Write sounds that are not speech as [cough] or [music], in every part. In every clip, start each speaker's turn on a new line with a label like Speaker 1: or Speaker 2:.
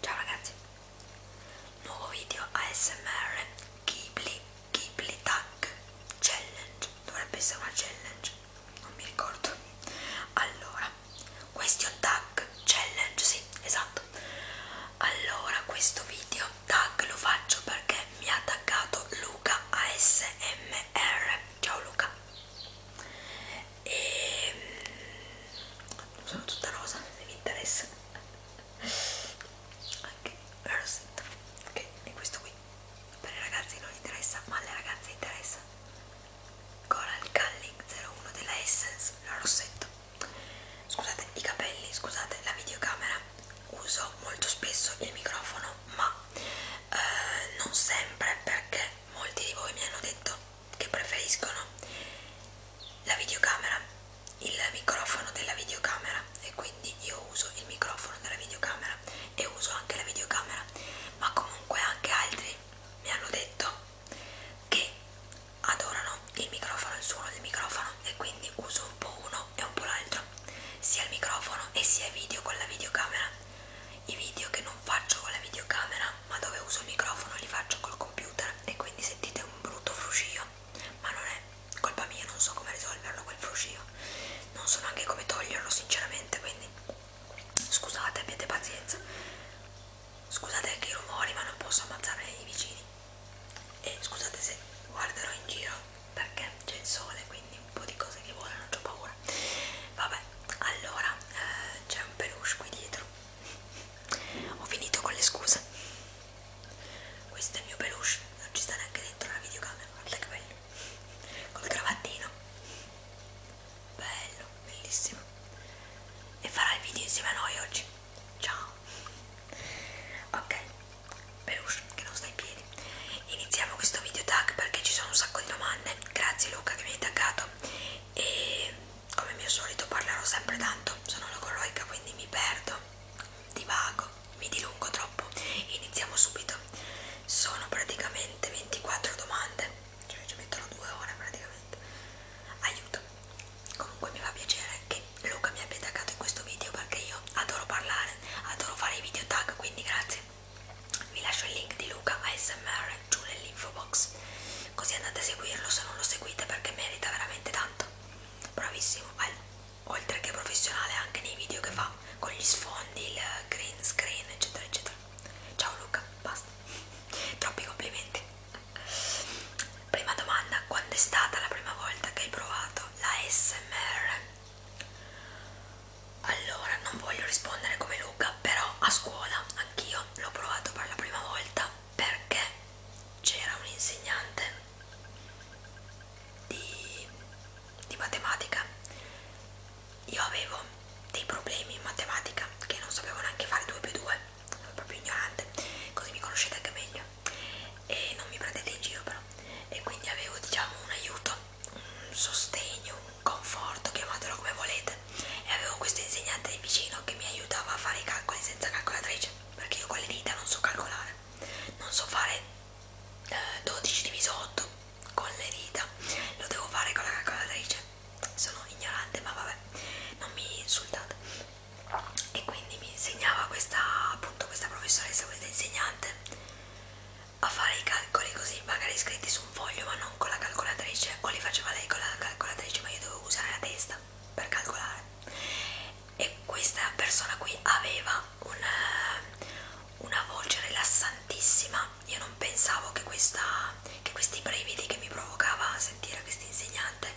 Speaker 1: Ciao ragazzi, nuovo video ASMR Ghibli, Ghibli Tag Challenge, dovrebbe essere una challenge, non mi ricordo. Allora, question tag challenge, sì, esatto. Allora, questo video tag lo faccio perché mi ha taggato Luca ASMR. Ciao Luca e mm, sono tutta rosa se vi interessa anche la rosetta ok e questo qui per i ragazzi non interessa ma alle ragazze interessa Coral Culling 01 della Essence la rossetta scusate i capelli scusate la videocamera uso molto spesso il microfono ma eh, non sempre perché molti di voi mi hanno detto che preferiscono la videocamera, il microfono della videocamera e quindi io uso il microfono della videocamera e uso anche la videocamera, ma comunque anche altri mi hanno detto che adorano il microfono, il suono del microfono e quindi uso un po' uno e un po' l'altro, sia il microfono e sia video con la videocamera i video che non faccio con la videocamera ma dove uso il microfono li faccio col computer e quindi sentite un brutto fruscio ma non è colpa mia non so come risolverlo quel fruscio non so neanche come toglierlo sinceramente quindi scusate abbiate pazienza scusate anche i rumori ma non posso ammazzare i vicini e scusate se guarderò in giro perché c'è il sole quindi un po' di cose che volano ho paura vabbè allora eh, c'è un peluche qui dietro ho finito con le scuse questo è il mio peluche non ci sta neanche dentro la videocamera guarda che bello col cravattino bello bellissimo e farà il video insieme a noi oggi ciao ok peluche che non sta in piedi iniziamo questo video tag perché ci sono un sacco di domande grazie Luca che mi hai taggato e come mio solito parlerò sempre tanto, sono logoroica quindi mi perdo, divago, mi dilungo troppo. Iniziamo subito. Sono praticamente 24 domande, cioè ci metterò due ore praticamente. Aiuto. Comunque mi fa piacere che Luca mi abbia taggato in questo video perché io adoro parlare, adoro fare i video tag, quindi grazie vi lascio il link di Luca ASMR giù nell'info box così andate a seguirlo se non lo seguite perché merita veramente tanto bravissimo oltre che professionale anche nei video che fa con gli sfondi il green screen eccetera eccetera ciao Luca basta troppi complimenti prima domanda quando è stata la prima volta che hai provato la SMR allora, non voglio rispondere come Luca, però a scuola anch'io l'ho provato per la prima volta perché c'era un insegnante di, di matematica. Io avevo dei problemi in matematica che non sapevo neanche fare 2 più 2, sono proprio ignorante, così mi conoscete anche meglio e non mi prendete in giro però. E quindi avevo diciamo un aiuto un sostegno, un conforto, chiamatelo come volete e avevo questa insegnante di vicino che mi aiutava a fare i calcoli senza calcolatrice perché io con le dita non so calcolare non so fare eh, 12 diviso 8 con le dita lo devo fare con la calcolatrice sono ignorante ma vabbè non mi insultate e quindi mi insegnava questa appunto questa professoressa questa insegnante a fare i calcoli così magari scritti su un foglio ma non con la calcolatrice o li faceva lei con la calcolatrice ma io dovevo usare la testa per calcolare e questa persona qui aveva una, eh, una voce rilassantissima io non pensavo che, questa, che questi brividi che mi provocava a sentire questa insegnante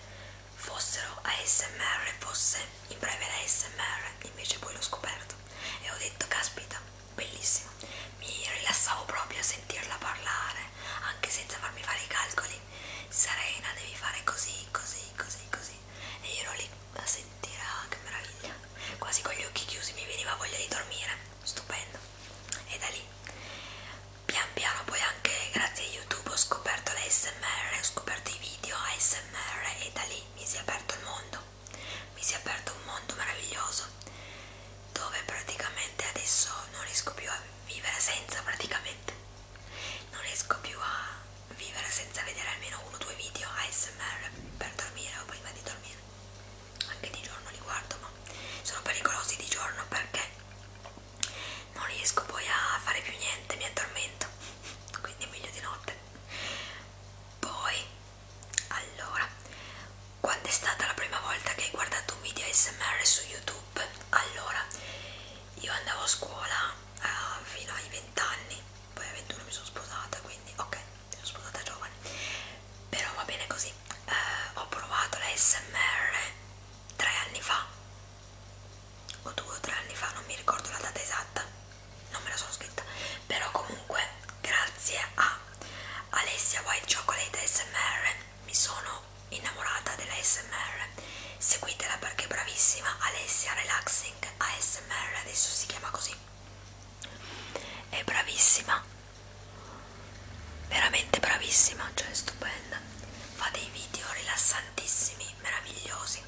Speaker 1: fossero ASMR fosse in breve l'ASMR invece poi l'ho scoperto e ho detto caspita bellissimo mi rilassavo proprio a sentirla parlare anche senza farmi fare i calcoli Serena devi fare così così così così e io ero lì a sentire ah, che meraviglia quasi con gli occhi chiusi mi veniva voglia di dormire stupendo e da lì pian piano poi anche grazie a youtube ho scoperto l'ASMR ho scoperto i video ASMR e da lì mi si è aperto il mondo mi si è aperto un mondo meraviglioso dove praticamente adesso non riesco più a vivere senza praticamente non riesco più a vivere senza vedere almeno uno o due video ASMR per dormire o prima di dormire anche di giorno li guardo ma sono pericolosi di giorno perché non riesco poi a fare più niente mi addormento [laughs] quindi è meglio di notte poi allora, quando è stata la prima volta che hai guardato un video ASMR su YouTube? Allora, io andavo a scuola uh, fino ai 20 anni, poi a 21 mi sono sposata, quindi ok, mi sono sposata giovane, però va bene così. Uh, ho provato la ASMR tre anni fa, o due o tre anni fa, non mi ricordo la data esatta, non me la sono scritta però comunque grazie a Alessia White Chocolate ASMR mi sono innamorata della ASMR seguitela perché è bravissima Alessia Relaxing ASMR adesso si chiama così è bravissima veramente bravissima cioè è stupenda fa dei video rilassantissimi meravigliosi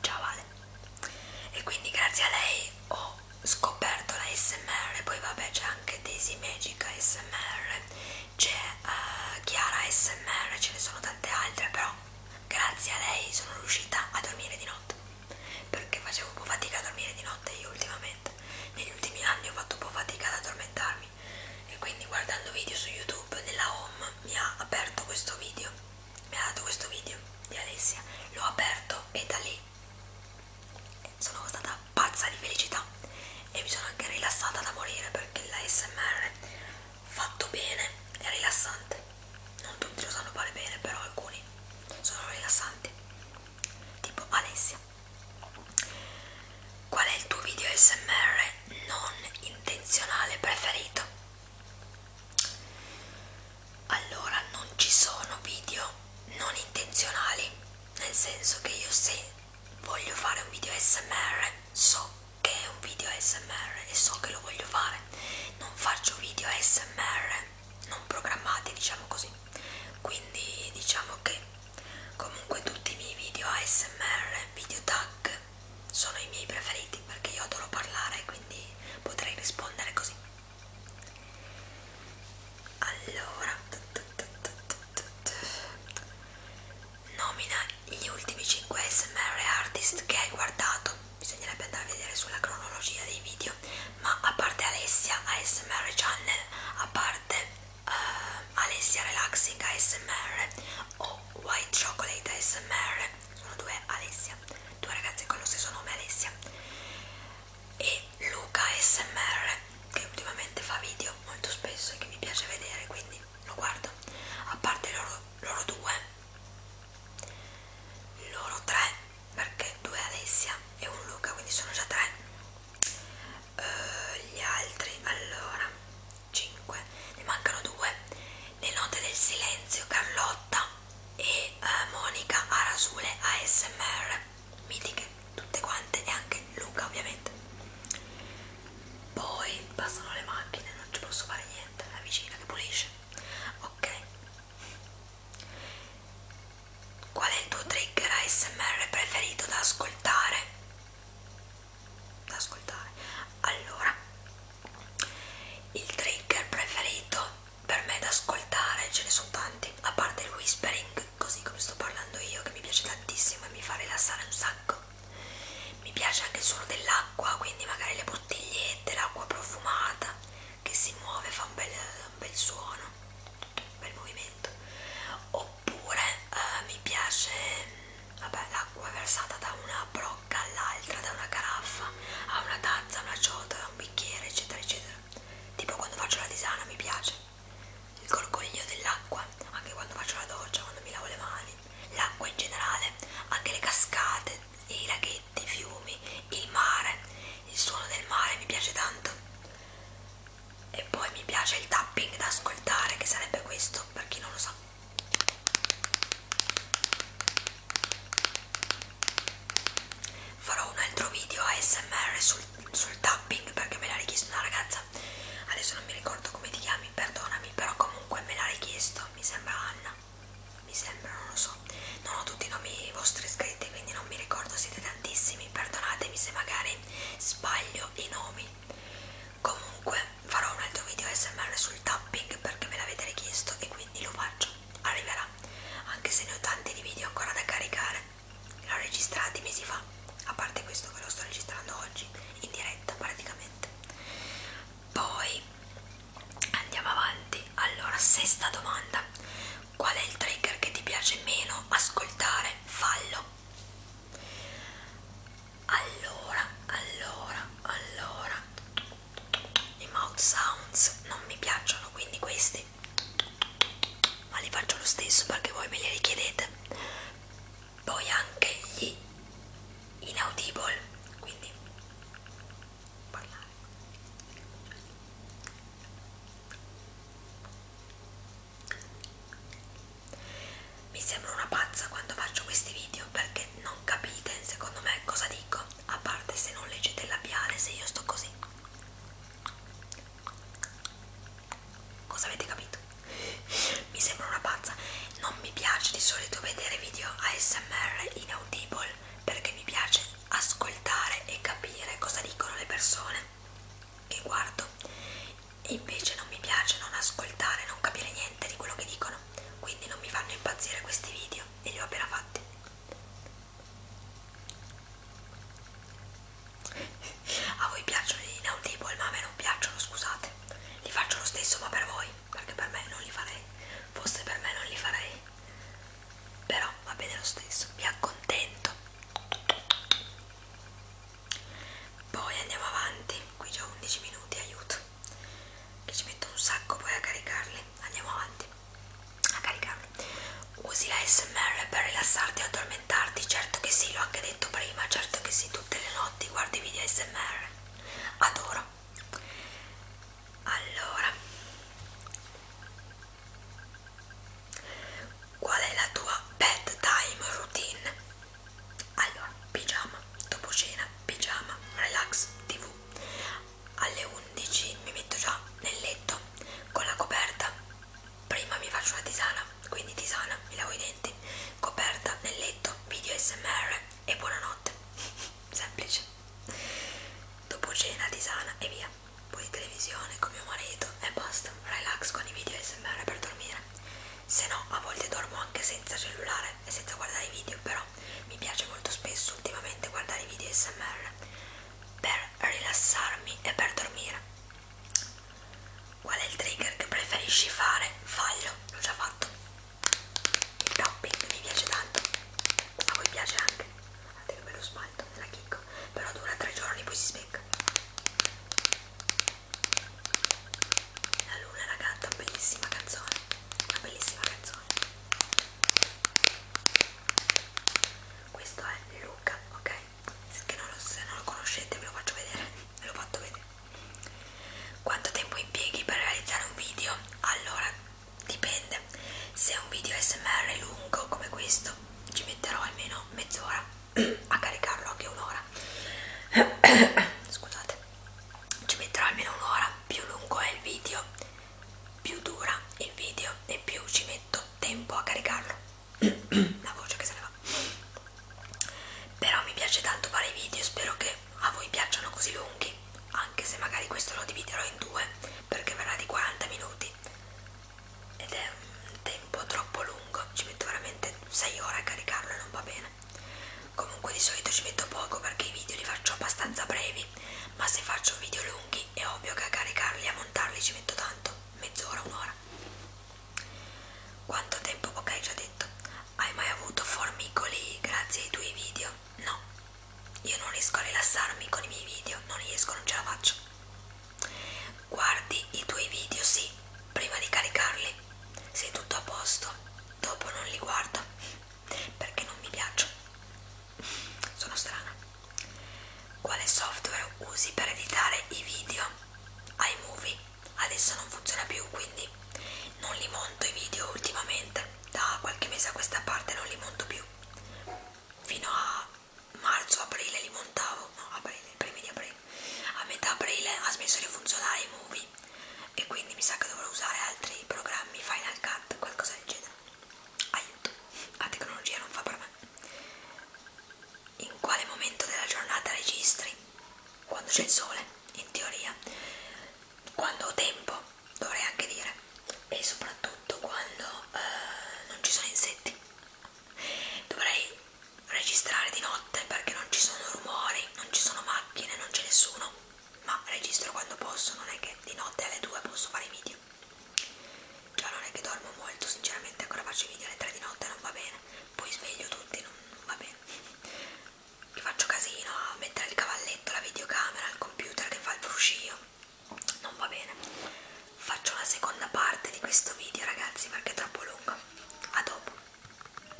Speaker 1: ciao Vale e quindi grazie a lei ho ho scoperto la SMR, poi vabbè c'è anche Daisy Magic SMR, c'è uh, Chiara SMR, ce ne sono tante altre, però grazie a lei sono riuscita a dormire di notte, perché facevo un po' fatica a dormire di notte io ultimamente, negli ultimi anni ho fatto un po' fatica ad addormentarmi e quindi guardando video su YouTube nella home mi ha aperto questo video, mi ha dato questo video di Alessia, l'ho aperto e da lì sono stata pazza di felicità e mi sono anche rilassata da morire perché la SMR fatto bene è rilassante non tutti lo sanno fare bene però alcuni sono rilassanti tipo Alessia qual è il tuo video SMR non intenzionale preferito allora non ci sono video non intenzionali nel senso che io se voglio fare un video smr so che è un video smr e so che lo voglio fare non faccio video smr non programmati diciamo così quindi diciamo che comunque tutti i miei video ASMR, video tag sono i miei preferiti perché io adoro parlare quindi potrei rispondere così allora nomina gli ultimi 5 smr artist che hai guardato bisognerebbe andare a vedere sulla cronologia dei video ma a parte Alessia ASMR Channel a parte uh, Alessia Relaxing ASMR o White Chocolate ASMR sono due Alessia due ragazzi con lo stesso nome Alessia e Luca SMR che ultimamente fa video molto spesso e che mi piace vedere quindi lo guardo a parte loro, loro due loro tre perché due Alessia e un Luca quindi sono già tre uh, gli altri allora 5 ne mancano due le note del silenzio Carlotta e eh, Monica Arasule ASMR, mitiche tutte quante e anche Luca ovviamente. Poi passano le macchine, non ci posso fare niente, la vicina che pulisce. Ok. Qual è il tuo trigger ASMR preferito da ascoltare? Da ascoltare. Allora, il trigger preferito per me da ascoltare ce ne sono tanti, a parte il whispering, così come sto parlando io, che mi piace tantissimo e mi fa rilassare un sacco. Mi piace anche il suono dell'acqua, quindi magari le bottigliette, l'acqua profumata che si muove, fa un bel, un bel suono, un bel movimento. Oppure eh, mi piace vabbè, l'acqua versata da una pro bocca all'altra, da una caraffa a una tazza, a una ciotola, a un bicchiere, eccetera, eccetera. Tipo quando faccio la tisana mi piace il gorgoglio dell'acqua, anche quando faccio la doccia, quando mi lavo le mani, l'acqua in generale, anche le cascate, i laghetti, i fiumi, il mare, il suono del mare mi piace tanto. E poi mi piace il tapping da ascoltare, che sarebbe questo per chi non lo sa farò un altro video ASMR sul, sul tapping perché me l'ha richiesto una ragazza adesso non mi ricordo come ti chiami perdonami però comunque me l'ha richiesto mi sembra Anna mi sembra non lo so non ho tutti i nomi vostri iscritti quindi non mi ricordo siete tantissimi perdonatemi se magari sbaglio i nomi comunque farò un altro video ASMR sul tapping perché me l'avete richiesto e quindi lo faccio arriverà, anche se ne ho tanti di video ancora da caricare, l'ho registrati mesi fa, a parte questo che lo sto registrando oggi, in diretta praticamente. Poi andiamo avanti, allora sesta domanda, qual è il trigger che ti piace meno ascoltare? Fallo. Allora, allora, allora, i mouth sounds non mi piacciono quindi questi ma li faccio lo stesso perché voi me li richiedete poi anche gli inaudible quindi parlare mi sembro una pazza quando faccio questi video perché non capite secondo me cosa dico a parte se non leggete il labiale, se io sto così. Cosa avete capito? Mi sembra una pazza. Non mi piace di solito vedere video ASMR inaudible perché mi piace ascoltare e capire cosa dicono le persone che guardo. E invece non mi piace non ascoltare, non capire niente di quello che dicono. Quindi non mi fanno impazzire questi video e li ho appena fatti a voi piacciono gli inaudible ma a me non piacciono scusate li faccio lo stesso ma per voi perché per me non li farei forse per me non li farei però va bene lo stesso mi accontento poi andiamo avanti qui già 11 minuti aiuto che ci metto un sacco poi a caricarli andiamo avanti a caricarli usi la smr per rilassarti o addormentarti certo che sì l'ho anche detto prima certo che sì tutte le notti guardi video smr adoro allora qual è la tua bedtime routine allora pigiama dopo cena pigiama relax tv alle 11 mi metto già nel letto con la coperta prima mi faccio una tisana quindi tisana, mi lavo i denti coperta nel letto, video smr e buonanotte [laughs] semplice dopo cena, tisana e via poi televisione con mio marito e basta relax con i video smr per dormire se no a volte dormo anche senza cellulare parlare e senza guardare i video però mi piace molto spesso ultimamente guardare i video smr per rilassarmi e per dormire qual è il trigger che preferisci fare? fallo, l'ho già fatto il tapping mi piace tanto a voi piace anche guardate che bello spalto nella chicco però dura tre giorni poi si specca la luna ragazza, bellissima canzone, una bellissima canzone. Questo è Luca, ok? Che non lo, se non lo conoscete ve lo faccio vedere, ve l'ho fatto vedere. Quanto tempo impieghi per realizzare un video? Allora, dipende. Se un video SMR è lungo come questo, ci metterò almeno mezz'ora [clears throat] a caricarlo, anche un'ora. [clears throat] Scusate ci metterò almeno un'ora più lungo è il video più dura il video e più ci metto tempo a caricarlo [clears throat] la voce che se ne va però mi piace tanto fare i video spero che a voi piacciono così lunghi anche se magari questo lo dividerò in due perché verrà di 40 minuti ed è un tempo troppo lungo ci metto veramente 6 ore a caricarlo e non va bene Comunque di solito ci metto poco perché i video li faccio abbastanza brevi, ma se faccio video lunghi è ovvio che a caricarli e a montarli ci metto tanto, mezz'ora, un'ora. Quanto tempo? Ok, già detto. Hai mai avuto formicoli grazie ai tuoi video? No, io non riesco a rilassarmi con i miei video, non riesco, non ce la faccio. Guardi i tuoi video, sì, prima di caricarli. Sei tutto a posto dopo non li guardo perché non mi piacciono sono strana quale software usi per editare i video iMovie adesso non funziona più quindi non li monto i video ultimamente da qualche mese a questa parte non li monto più fino a marzo aprile li montavo no aprile primi di aprile a metà aprile ha smesso di funzionare iMovie così e quindi mi sa che dovrò usare altri programmi Final Cut, qualcosa del genere aiuto, la tecnologia non fa per me in quale momento della giornata registri? quando c'è il sole, in teoria quando ho tempo, dovrei anche dire e soprattutto quando eh, non ci sono insetti dovrei registrare di notte perché non ci sono rumori ok, non ci sono macchine, non c'è nessuno, ma registro quando posso, non è che di notte alle 2 posso fare i video. Già non è che dormo molto, sinceramente ancora faccio i video alle 3 di notte, non va bene. Poi sveglio tutti, non, non va bene. Che faccio casino a mettere il cavalletto, la videocamera, il computer che fa il fruscio. Non va bene. Faccio una seconda parte di questo video, ragazzi, perché è troppo lungo. A dopo.